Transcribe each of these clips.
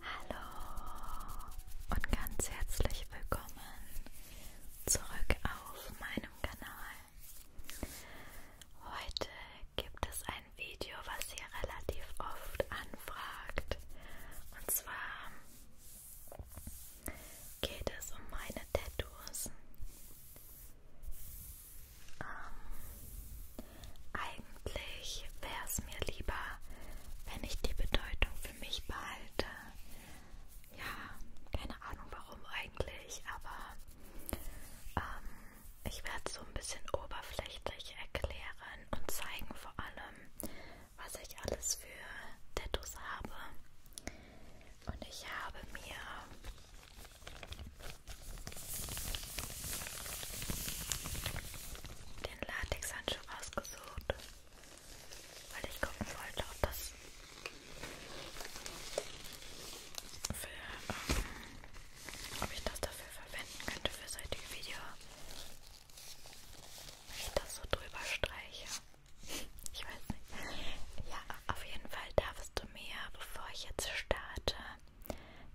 Hallo und ganz herzlich willkommen zurück auf meinem Kanal. Heute gibt es ein Video, was ihr relativ oft anfragt. Und zwar geht es um meine Tattoos. Ähm, eigentlich wäre es mir lieber, wenn ich die Bedeutung für mich behalte. Ja, keine Ahnung warum eigentlich, aber ähm, ich werde es so ein bisschen oberflächlich erklären und zeigen vor allem, was ich alles für Tattoos habe. Und ich habe mir den Latexhandschuh ausgesucht, weil ich gucken wollte, ob das für, ähm, ob ich das dafür verwenden könnte für das heutige Video. Wenn ich das so drüber streiche. Ich weiß nicht. Ja, auf jeden Fall darf es würde mir, bevor ich jetzt starte,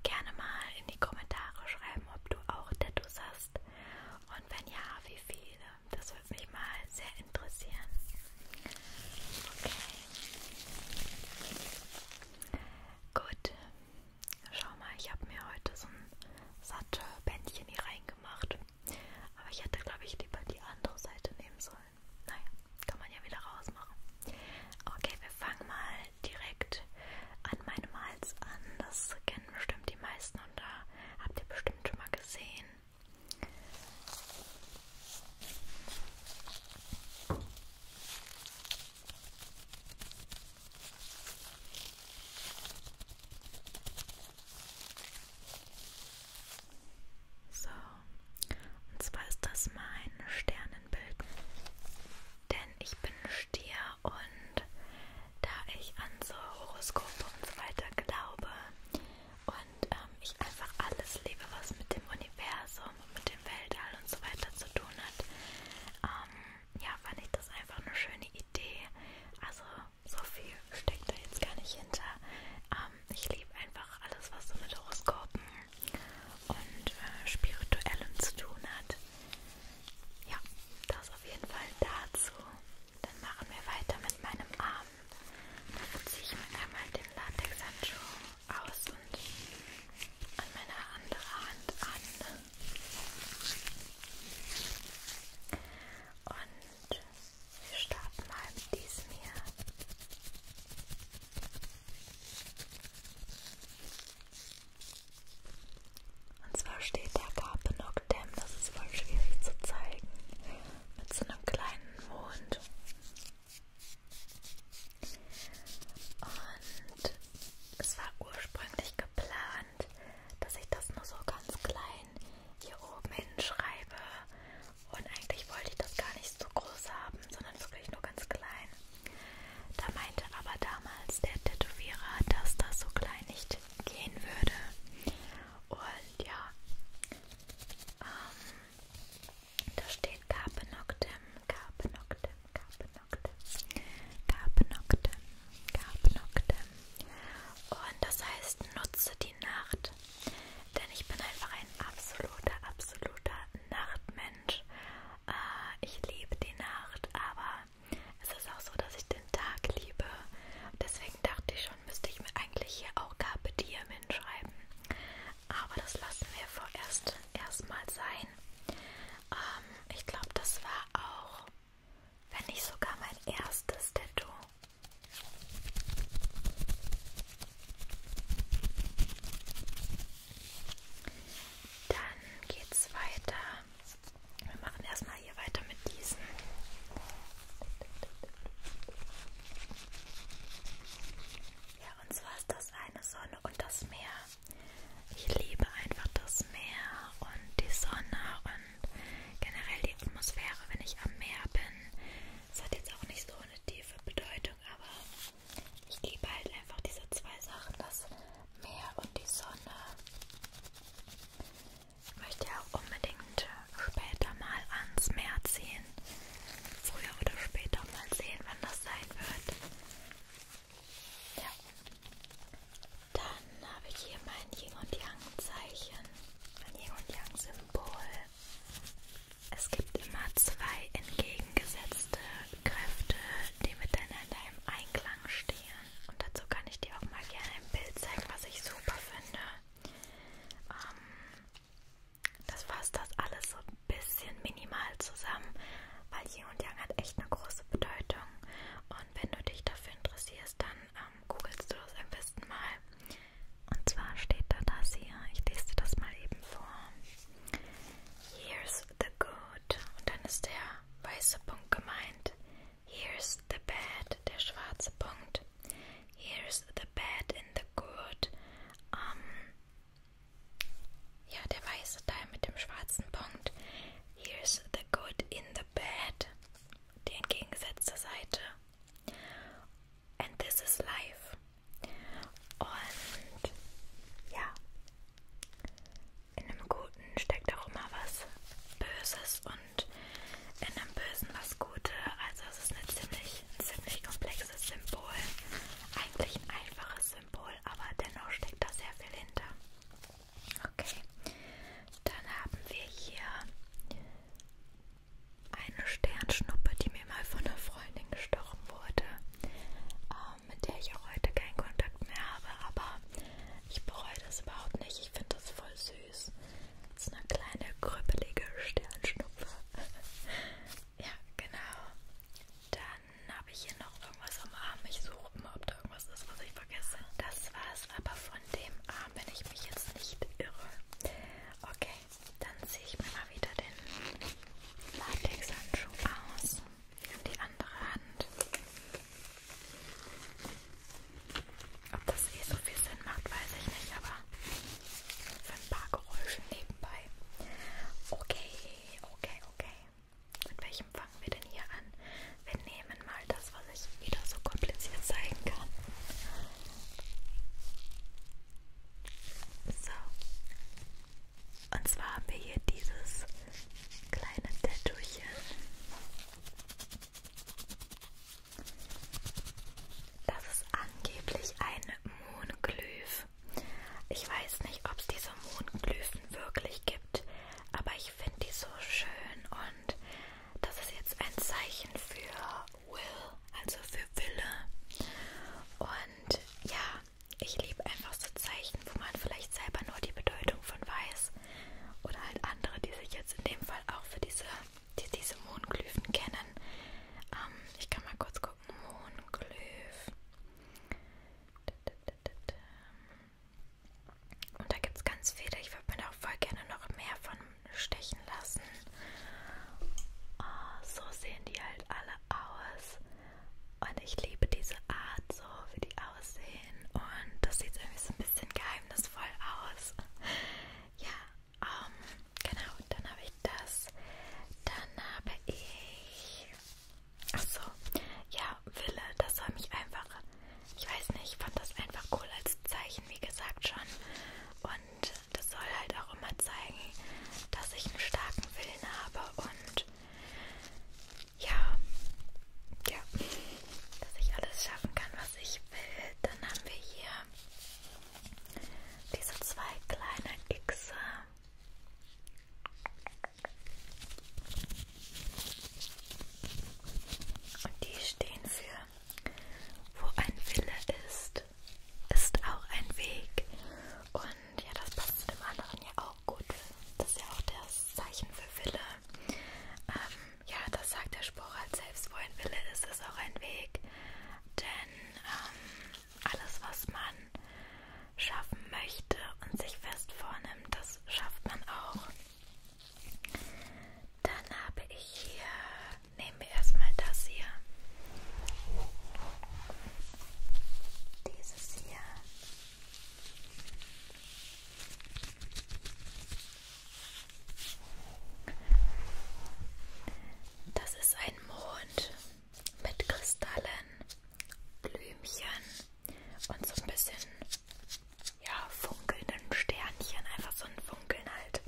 gerne mal in die Kommentare schreiben, ob du auch Tattoos hast und wenn ja, wie viele. Das würde mich mal sehr interessieren. Okay. Gut. Schau mal, ich habe mir heute so ein Sattelbändchen hier reingemacht. Aber ich hätte, glaube ich, lieber die andere Seite nehmen sollen sollen. Naja, kann man ja wieder rausmachen. Okay, wir fangen mal direkt an meinem Hals an. Das kennen bestimmt die meisten und da habt ihr bestimmt schon mal gesehen. So, und zwar ist das mein Sternenbild. Denn ich bin Stier und da ich an so Horoskope und so weiter glaube und ähm, ich einfach alles liebe, was mit dem Universum und mit dem Weltall und so weiter zu tun hat, ähm, ja, fand ich das einfach eine schöne Idee. Also so viel steckt da jetzt gar nicht hinter. Ähm, ich liebe einfach alles, was so mit Horoskopen und äh, Spirituellem zu tun hat. Ja, das auf jeden Fall dazu. Dann machen wir weiter mit meinem Arm. Dann ziehe ich mir einmal den Latexhandschuh aus und an meine andere Hand an. Und wir starten mal mit diesem hier. Und zwar steht da Carpenogdem, das ist voll schwierig zu zeigen, mit so einem kleinen Mond. Und es war ursprünglich geplant, dass ich das nur so ganz klein hier oben hinschreibe und eigentlich wollte ich das gar nicht so groß haben, sondern wirklich nur ganz klein. Da meinte aber damals der Tätowierer, dass das so klein nicht gehen würde. Und ja, ähm, da steht Carpe Noctem, Carpe Noctem, Carpe Noctem, Carpe Noctem, Carpe Noctem. Und das heißt, nutze die Nacht denn ich bin einfach ein absoluter, absoluter Nachtmensch. Äh, ich liebe die Nacht, aber es ist auch so, dass ich den Tag liebe. Deswegen dachte ich schon, müsste ich mir eigentlich hier auch Carpe Diem hinschreiben. Aber das lassen wir vorerst erstmal sein. Ähm, ich glaube, das war auch, wenn nicht sogar mein erstes Tattoo. Dann geht's weiter. Wir machen erstmal hier weiter mit diesen. Ja, und zwar ist das eine Sonne und das Meer. Ich liebe einfach das Meer und die Sonne und generell die Atmosphäre, wenn ich am Meer bin. Es hat jetzt auch nicht so eine tiefe Bedeutung, aber ich liebe halt einfach diese zwei Sachen, das Meer und die Sonne. Ich möchte ja auch unbedingt später mal ans Meer ziehen. Früher oder später mal sehen, wann das sein wird. Ja. Dann habe ich hier mein Yin und Yang Zeichen, mein Yin und Yang Symbol. Es gibt immer zwei entgegengesetzte Kräfte, die miteinander im Einklang stehen. Und dazu kann ich dir auch mal gerne ein Bild zeigen, was ich super finde. Ähm, das fasst das alles so ein bisschen minimal zusammen, weil Yin und Yang hat echt eine große Bedeutung. Und wenn du dich dafür interessierst, dann ähm, googelst du das am besten mal. Und zwar steht da das hier, ich lese dir das mal eben vor. Here's the good. Und dann ist der weiße Punkt gemeint. Here's the bad, der schwarze Punkt. Here's the bad in the good. Um, ja, der weiße Teil mit dem schwarzen Punkt. Here's the good in the bad. Die entgegengesetzte Seite and this is life. Und ja, in einem Guten steckt auch immer was Böses und in einem Bösen was Gute. Also es ist eine ziemlich, ein ziemlich komplexes Symbol. Eigentlich ein einfaches Symbol, aber dennoch steckt da sehr viel hinter. Okay, dann haben wir hier eine Sternschnuppe, die mir mal von einer Freundin gestochen wurde, ähm, mit der ich auch heute keinen Kontakt mehr habe, aber ich bereue das überhaupt nicht. Ich finde das voll süß. Das ist eine kleine krüppelige Sternschnuppe. ja, genau. Dann habe ich hier noch irgendwas am Arm. Ich suche immer, ob da irgendwas ist, was ich vergesse. Das war es aber von dem Arm, wenn ich mich jetzt nicht irre. Okay, dann ziehe ich mir mal wieder den Latexhandschuh aus und die andere Hand. Ob das eh so viel Sinn macht, weiß ich nicht, aber für ein paar Geräusche nebenbei. Okay, okay, okay. Mit welchem fangen wir denn hier an? Wir nehmen mal das, was ich wieder so kompliziert zeigen kann. So. Und zwar haben wir hier dieses kleine Tattoochen. Das ist angeblich ein Moonglyph. Ich weiß nicht, ob es diese Moonglyphen wirklich gibt, aber ich finde die so schön und das ist jetzt ein Zeichen für Will, also für Wille. Und ja, ich liebe einfach so Zeichen, wo man vielleicht selber nur die Bedeutung von weiß. Oder halt andere, die sich jetzt in dem Fall auch für diese, die, diese Mondglyphen kennen. Ähm, ich kann mal kurz gucken. Mondglyph. Und da gibt es ganz viele. Ich würde mir da auch voll gerne noch mehr von stechen lassen. Oh, so sehen die halt alle aus. Und ich liebe diese Art, so wie die aussehen. Und das sieht irgendwie so ein bisschen geheimnisvoll aus. Ja, um, ähm, genau. Dann habe ich das. Dann habe ich. Achso, ja, Wille. Das soll mich einfach. Ich weiß nicht, ich fand das einfach cool als Zeichen, wie gesagt schon. Und und das soll halt auch immer zeigen, dass ich einen starken Willen habe und ja, ja, dass ich alles schaffen kann, was ich will. Dann haben wir hier diese zwei kleinen Xe. Und die stehen für wo ein Wille ist, ist auch ein Weg. Und ja, das passt zu dem anderen ja auch gut. Das ist ja auch das Zeichen für Wille. Ähm, ja, das sagt der Spruch halt selbst. Wo ein Wille ist, ist auch ein Weg. Denn ähm, alles, was man schaffen möchte und sich fest vornimmt, das schafft man auch. Dann habe ich hier, nehmen wir erstmal das hier. Dieses hier. Das ist ein Mond mit Kristallen, Blümchen und so ein bisschen ja, funkelnden Sternchen, einfach so ein Funkeln halt.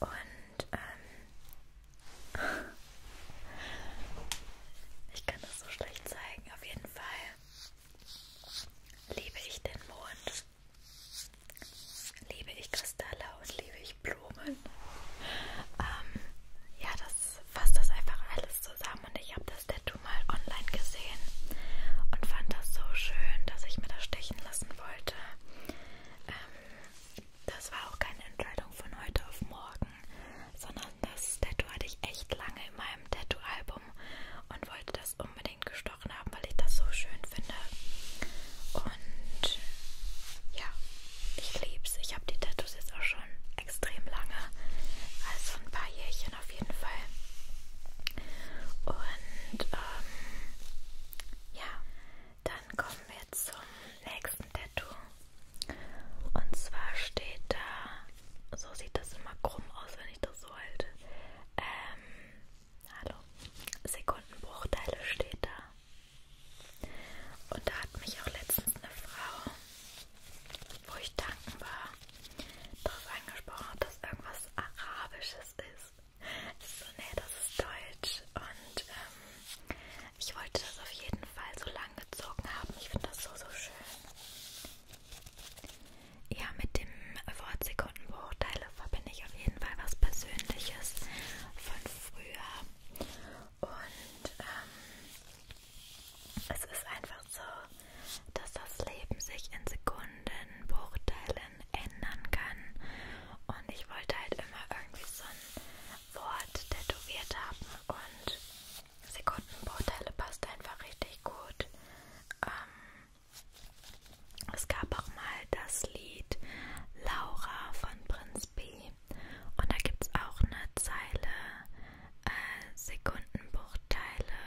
Und ähm, ich kann das so schlecht zeigen, auf jeden Fall liebe ich den Mond, liebe ich Kristalle und liebe ich Blumen. Ähm, ja, das fasst das einfach alles zusammen und ich habe das Tattoo mal online gesehen und fand das so schön, dass ich mir das stechen lassen wollte. Ähm, das war auch keine Entscheidung von heute auf morgen, sondern das Tattoo hatte ich echt lange in meinem Tattoo-Album und wollte das unbedingt gestochen haben, weil ich das so schön finde. Und ja, ich lieb's. Ich habe die Tattoos jetzt auch schon extrem lange, also ein paar Jährchen auf jeden Fall. Und ähm, ja, dann kommen wir zum nächsten Tattoo. Und zwar steht da, so sieht das immer krumm aus, wenn ich das so halte. Ähm, hallo, Sekundenbruchteile steht da. Und da hat mich auch letztens eine Frau, wo ich danken war, darauf angesprochen, dass irgendwas Arabisches ist so, nee, das ist deutsch. Und ähm, ich wollte das auf jeden Fall so lang gezogen haben. Ich finde das so, so schön. Ja, mit dem Wort Sekundenbruchteile verbinde ich auf jeden Fall was Persönliches von früher. Und ähm, es ist einfach so, dass das Leben sich in Sekundenbruchteile ändern kann. Und ich wollte halt immer irgendwie so ein Wort tätowiert haben und Sekundenbruchteile passt einfach richtig gut. Ähm, es gab auch mal das Lied Laura von Prinz B. Und da gibt es auch eine Zeile äh, Sekundenbruchteile.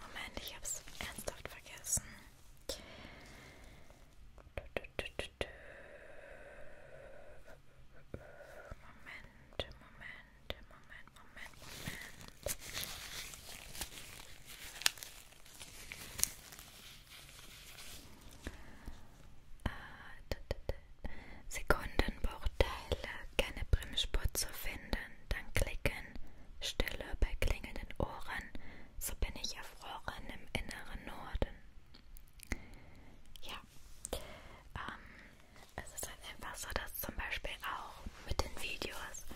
Moment, ich habe es ernsthaft vergessen. Moment, Moment, Moment, Moment, Moment. Äh, Sekundenbruchteile, keine Bremsspur zu finden, dann klicken Stille bei klingelnden Ohren, so bin ich erfroren im inneren Norden. Ja, ähm, es ist halt einfach so, dass zum Beispiel auch mit den Videos,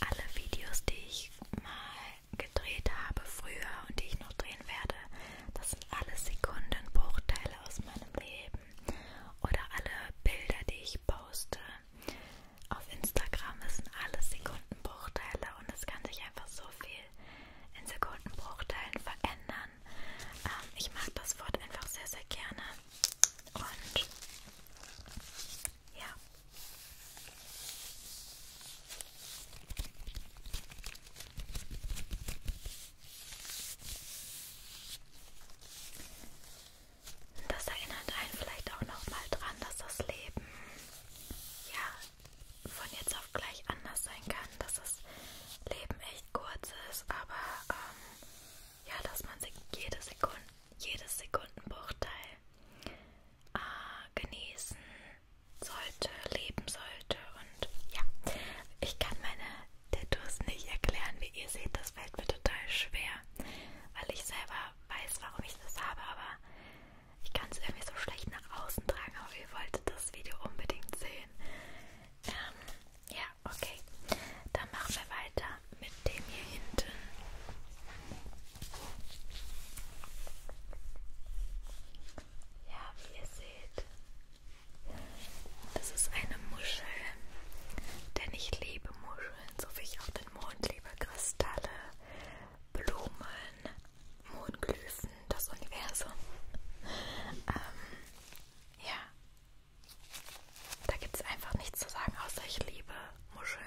alle Videos, die ich mal gedreht habe früher und die ich noch drehen werde, das sind alles Sekundenbruchteile aus meinem Leben oder alle Bilder, die ich poste auf Instagram sind alles Sekundenbruchteile und es kann sich einfach so viel in Sekundenbruchteilen verändern. Ähm, ich mag das Wort einfach sehr, sehr gerne. Und ja. Das erinnert einen vielleicht auch nochmal dran, dass das Leben ja von jetzt auf gleich anders sein kann, dass das Leben echt kurz ist, aber ähm, ja, dass man jede Sekunde, jedes Sekundenbruchteil äh, genießen sollte, leben sollte und ja, ich kann meine Tattoos nicht erklären, wie ihr seht, das fällt mir total schwer, weil ich selber weiß, warum ich das habe, aber ich kann es irgendwie so schlecht nach außen tragen, aber ihr wolltet das Video unbedingt sehen. Ähm, ja, okay. Dann machen wir weiter mit dem hier hinten. Ja, wie ihr seht, das ist eine Muschel, denn ich liebe Muscheln, so wie ich auch den Mondliebe, Kristalle, Blumen, Mondglyphen, das Universum. Ähm, ja, da gibt es einfach nichts zu sagen, außer ich liebe Muscheln.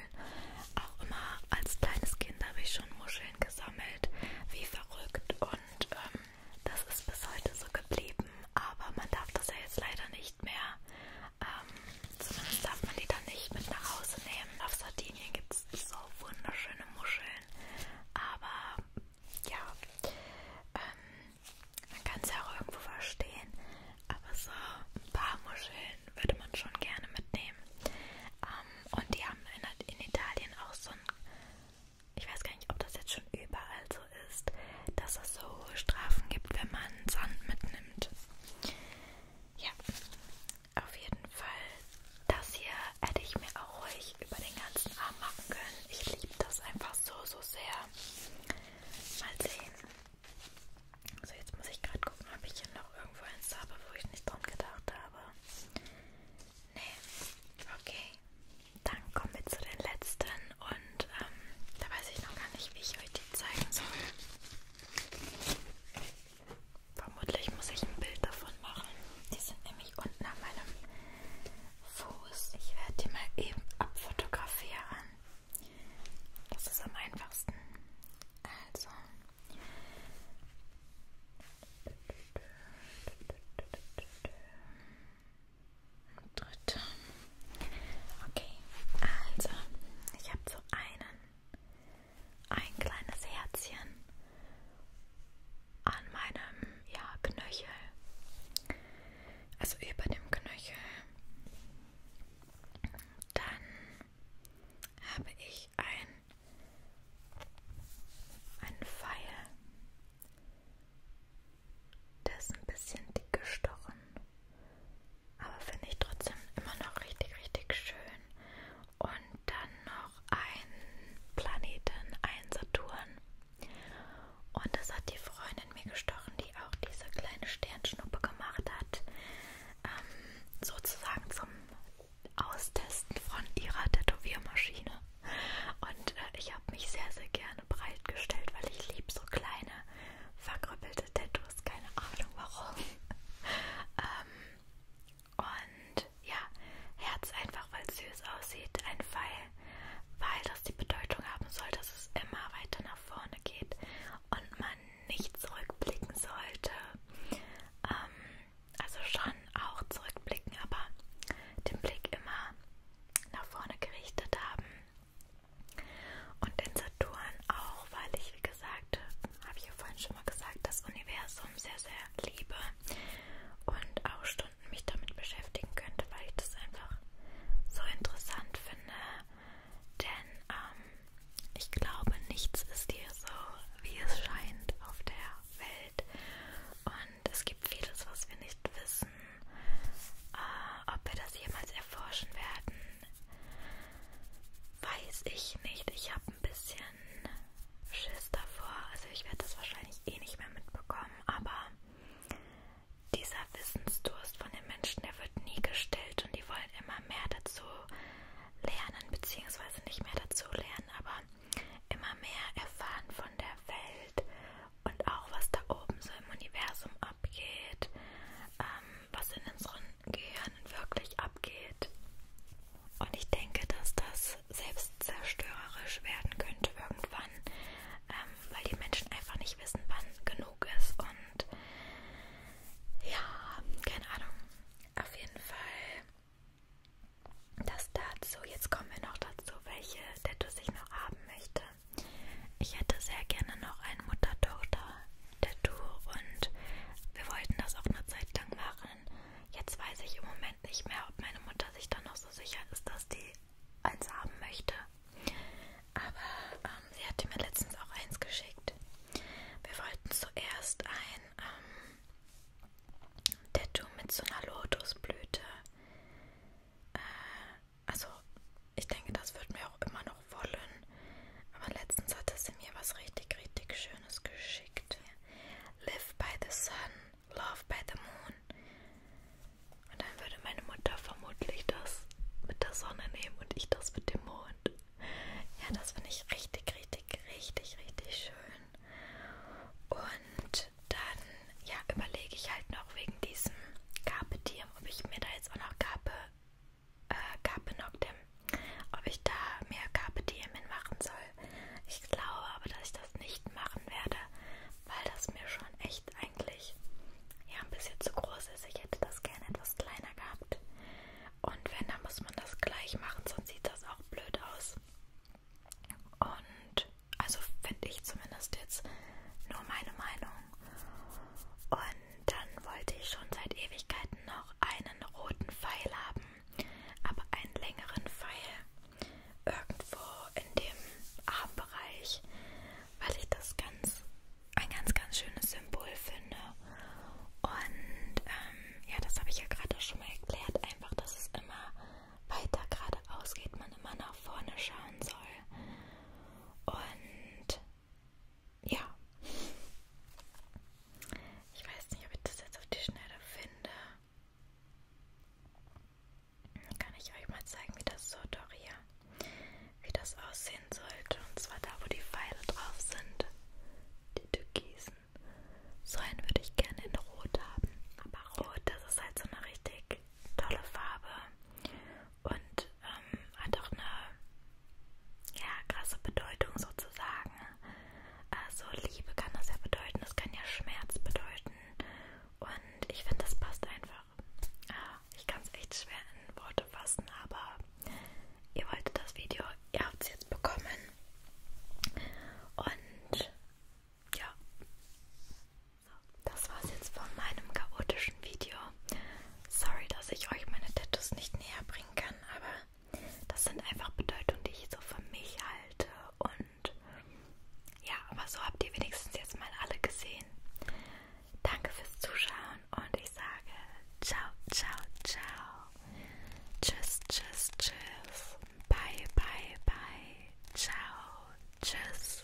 Auch immer als kleines Kind habe ich schon Muscheln gesammelt, wie verrückt. Und ähm, das ist bis heute so geblieben. Aber man darf das ja jetzt leider nicht nicht mehr. Ähm, zumindest darf man die dann nicht mit nach Hause nehmen. Auf Sardinien gibt es so wunderschöne Muscheln. Aber ja, ähm, man kann es ja auch irgendwo verstehen. Aber so ein paar Muscheln würde man schon gerne mitnehmen. Ähm, und die haben in, in Italien auch so ein, ich weiß gar nicht, ob das jetzt schon überall so ist, dass es so Strafen gibt, wenn man Sand mitnimmt. Ja, auf jeden Fall. Das hier hätte ich mir auch ruhig über den ganzen Arm machen können. Ich liebe das einfach so, so sehr. Mal sehen. So, jetzt muss ich gerade gucken, ob ich hier noch irgendwo eins habe, wo ich nicht dran gedacht habe. Nee. Okay. Dann kommen wir zu den letzten und ähm, da weiß ich noch gar nicht, wie ich euch die zeigen soll. Vermutlich muss ich ein Bild davon machen. Die sind nämlich unten an meinem Fuß. Ich werde die mal eben abfotografieren. Das ist am einfachsten. Also. Dritter. Okay, also ich habe so einen, ein kleines Herzchen an meinem ja, Knöchel, also über dem Knöchel. Dann habe ich ein einen Pfeil, der ist ein bisschen dick gestochen. Aber finde ich trotzdem immer noch richtig, richtig schön. Und dann noch ein Planeten, ein Saturn. Und das hat die Freundin mir gestochen, die auch diese kleine Sternschnuppe gemacht hat. Ähm, sozusagen zum Austesten von ihrer Tätowiermaschine. Und äh, ich habe mich sehr, sehr gerne breitgestellt, weil ich liebe so kleine verkrüppelte Tattoos, keine Ahnung warum. ähm, und ja, Herz einfach, weil es süß aussieht, ein Pfeil, weil das die Bedeutung haben soll, dass es immer weiter nach vorne geht und man nicht zurückblicken sollte. Ähm, also schon auch zurückblicken, aber den Blick immer nach vorne gerichtet haben und den Saturn auch, weil ich, wie gesagt, habe ich ja vorhin schon mal gesagt, das Universum sehr, sehr liebe und auch Stunden mich damit beschäftigen könnte, weil ich das einfach so interessant finde. Denn ähm, ich glaube, nichts ist hier so, wie es scheint auf der Welt. Und es gibt vieles, was wir nicht wissen äh, ob wir das jemals erforschen werden, weiß ich nicht. Ich habe ein bisschen Schiss davor. Also ich werde das wahrscheinlich eh nicht mehr mitbekommen, aber dieser Wissensdurst von den Menschen, der wird nie gestillt und die wollen immer mehr dazu lernen, beziehungsweise nicht mehr dazu lernen, aber immer mehr erfahren von der Welt und auch was da oben so im Universum abgeht, ähm, was in unseren Gehirnen wirklich abgeht. Und ich denke, dass das selbstzerstörerisch werden könnte irgendwann, ähm, weil die Menschen einfach nicht wissen, wann genug ist. Und ja, keine Ahnung. Auf jeden Fall das dazu. Jetzt kommen wir noch dazu, welche Tattoos ich noch haben möchte. Ich hätte sehr gerne noch ein Mutter-Tochter-Tattoo und wir wollten das auch eine Zeit lang machen. Jetzt weiß ich im Moment nicht mehr, ob meine Mutter sich dann noch so sicher ist, dass die eins haben möchte. Aber ähm, sie hatte mir letztens auch eins geschickt. Wir wollten zuerst ein ähm, Tattoo mit so einer Lotusblüte. Äh, also, ich denke, das wird mir auch immer noch wollen. Aber letztens hatte sie mir was richtig, richtig Schönes geschickt. Live by the sun, love by the moon. Und dann würde meine Mutter vermutlich das mit der Sonne nehmen und ich das mit dem Mond. Ja, das finde ich richtig, richtig, richtig, richtig schön. Und dann, ja, überlege ich halt noch wegen diesem Carpetier Medium, ob ich mir da jetzt auch noch Carpe, äh, Carpe Noctem, ob ich da mehr Carpe Diem machen soll. Ich glaube aber, dass ich das nicht machen werde, weil das mir schon echt eigentlich ja ein bisschen zu groß ist. Ich hätte das gerne etwas kleiner gehabt. Und wenn, dann muss man das gleich machen, sonst sieht das auch blöd aus. Und also finde ich zumindest jetzt nur meine Meinung. Und dann wollte ich schon seit Ewigkeiten noch einen roten Pfeil haben, aber einen längeren Pfeil irgendwo in dem Armbereich, weil ich das ganz ein ganz, ganz schönes Symbol finde. Und ähm, ja, das habe ich ja gerade schon mal erklärt, einfach, dass es immer weiter geradeaus geht, man immer nach vorne schauen soll. Und ja. Ich weiß nicht, ob ich das jetzt auf die Schnelle finde. Kann ich euch mal zeigen, wie das so doch hier, wie das aussehen sollte. Und zwar da, wo die Pfeile drauf sind. Die türkisen. So einen würde ich gerne in Rot haben. Aber Rot, das ist halt so eine richtig tolle Farbe und ähm, hat auch eine ja, krasse Bedeutung sozusagen. Also Liebe kann das ja bedeuten, es kann ja Schmerz bedeuten und ich finde, das passt einfach. Ah, ich kann es echt schwer in Worte fassen, aber ihr wolltet das Video, ihr habt es jetzt bekommen und ja, das war's jetzt von meinem chaotischen Video. Sorry, dass ich euch meine Tattoos nicht näher bringen kann, aber das sind einfach Bedeutungen, die ich so für mich halte. Und ja, aber so habt ihr wenigstens jetzt mal alle gesehen. Danke fürs Zuschauen und ich sage ciao, ciao, ciao. Tschüss, tschüss, tschüss. Bye, bye, bye. Ciao, tschüss.